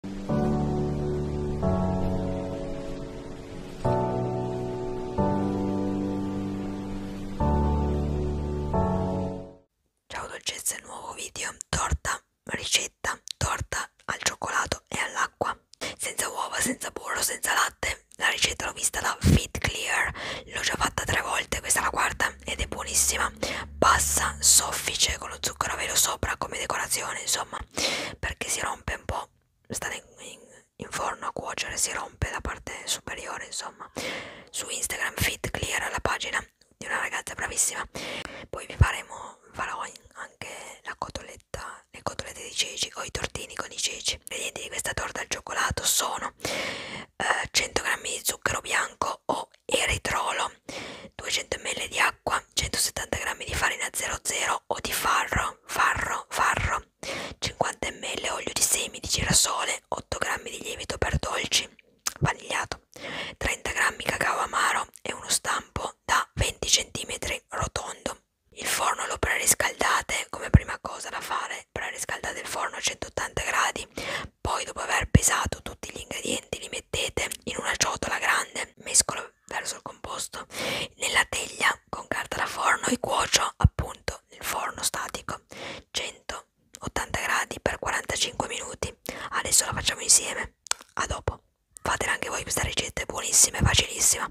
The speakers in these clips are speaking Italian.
Ciao dolcezze, nuovo video, torta, ricetta, torta al cioccolato e all'acqua, senza uova, senza burro, senza latte. La ricetta l'ho vista da Fit Clear, l'ho già fatta tre volte, questa è la quarta ed è buonissima buona passa soffice con lo zucchero a velo sopra come decorazione insomma perché si rompe un po' sta in, in, in forno a cuocere si rompe la parte superiore insomma su Instagram fit clear la pagina di una ragazza bravissima poi vi faremo farò anche la cotoletta le cotolette di ceci o i tortini con i ceci gli ingredienti di questa torta al cioccolato sono eh, 100 g di zucchero bianco o eritrolo 200 ml di acqua 170 g di farina 00 o di farro farro farro 50 ml olio di semi di girasole 8 g di lievito per dolci vanigliato 30 g cacao amaro e uno stampo da 20 cm rotondo il forno lo preriscaldate come prima cosa da fare preriscaldate il forno a 180 gradi poi dopo aver pesato tutti gli ingredienti li mettete in una ciotola grande, mescolo verso il composto nella teglia con carta da forno e cuocio appunto nel forno statico 180 gradi per 45 minuti. Adesso la facciamo insieme. A dopo. Fatela anche voi questa ricetta, è buonissima e facilissima.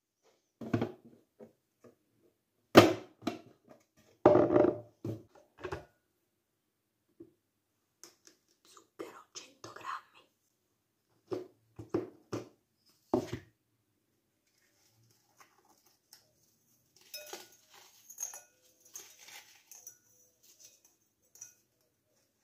Zucchero 100 grammi.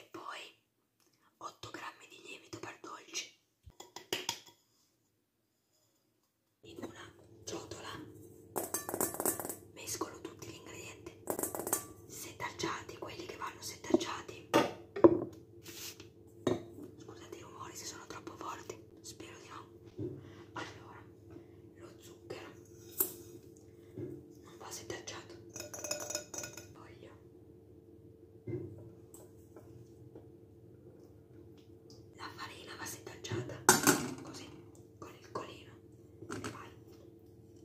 E poi 8 grammi di lievito per dolci. In una ciotola mescolo tutti gli ingredienti setaggiati, quelli che vanno setaggiati. Scusate i rumori se sono troppo forti, spero di no. Allora, lo zucchero non va setaggiato. Voglio la farina va setaggiata così con il colino. Vai.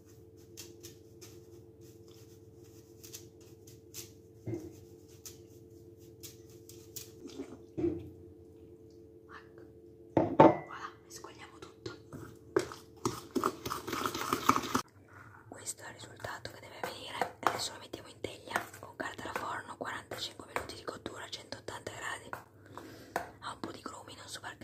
Ecco. ecco. Voilà, mescoliamo tutto. Questo è il risultato che deve venire. Adesso lo mettiamo in teglia con carta da forno, 45 minuti di cottura a 180 gradi. Ha un po' di grumi, non so perché.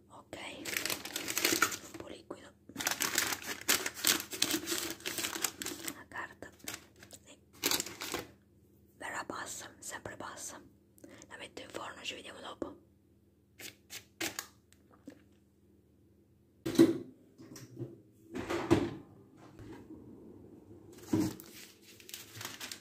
ok un po' liquido la carta sì. verrà bassa sempre bassa la metto in forno ci vediamo dopo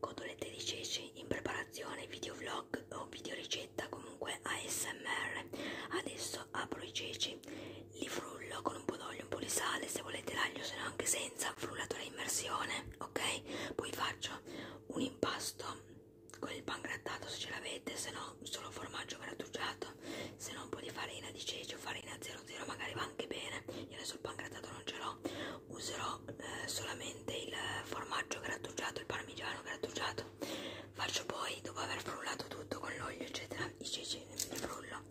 Codolette 16 in preparazione videovlog vlog o video ricetta comunque ASMR adesso apro i ceci li frullo con un po' d'olio un po' di sale se volete l'aglio se no anche senza frullatore a immersione ok poi faccio un impasto con il pan grattato se ce l'avete se no solo formaggio grattugiato se no un po' di farina di ceci o farina 00 magari va anche bene io adesso il pan grattato non ce l'ho userò eh, solamente il formaggio grattugiato il parmigiano grattugiato faccio poi dopo aver frullato tutto con l'olio eccetera i ceci li frullo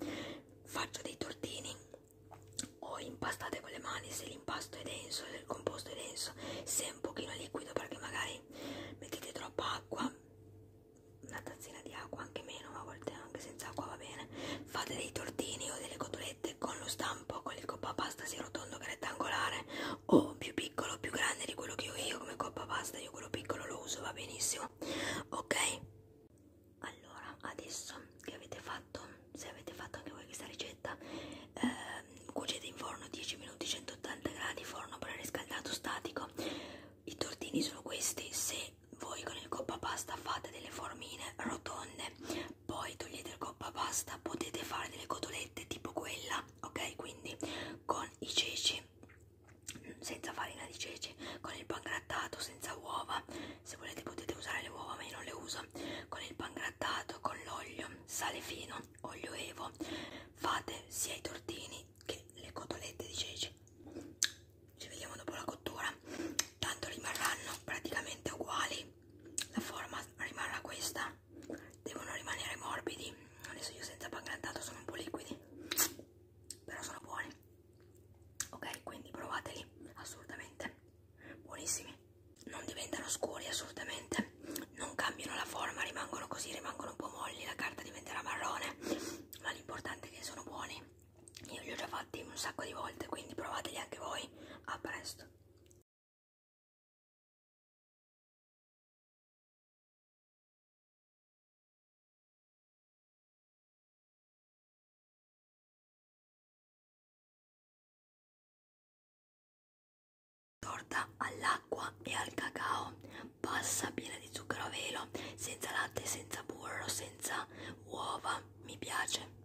faccio dei tortini o impastate con le mani se l'impasto è denso se il composto è denso se è un pochino liquido perché magari mettete troppa acqua una tazzina di acqua anche meno ma a volte anche senza acqua va bene fate dei tortini o delle cotolette con lo stampo con il coppa pasta sia rotondo che rettangolare o oh, più piccolo o più grande di quello che ho io come coppa pasta, io quello piccolo lo uso, va benissimo, ok? Allora, adesso che avete fatto, se avete fatto anche voi questa ricetta, eh, cuocete in forno 10 minuti, 180 gradi, forno preriscaldato statico, i tortini sono questi, se voi con il coppa pasta fate delle formine rotonde, poi togliete il coppa pasta, potete fare delle cotolette tipo quella farina ok quindi con i ceci senza farina di ceci con il pangrattato senza uova se volete potete usare le uova ma io non le uso con il pangrattato con l'olio sale fino olio evo fate sia i tortini che le cotolette di ceci ci vediamo dopo la cottura tanto rimarranno praticamente uguali la forma rimarrà questa devono rimanere morbidi adesso io senza pancreatato sono un po' liquidi però sono buoni ok quindi provateli assolutamente buonissimi non diventano scuri assolutamente non cambiano la forma rimangono così rimangono un po' molli la carta diventerà marrone ma l'importante è che sono buoni io li ho già fatti un sacco di volte quindi provateli anche voi a presto Torta all'acqua e al cacao, passa piena di zucchero a velo, senza latte, senza burro, senza uova, mi piace.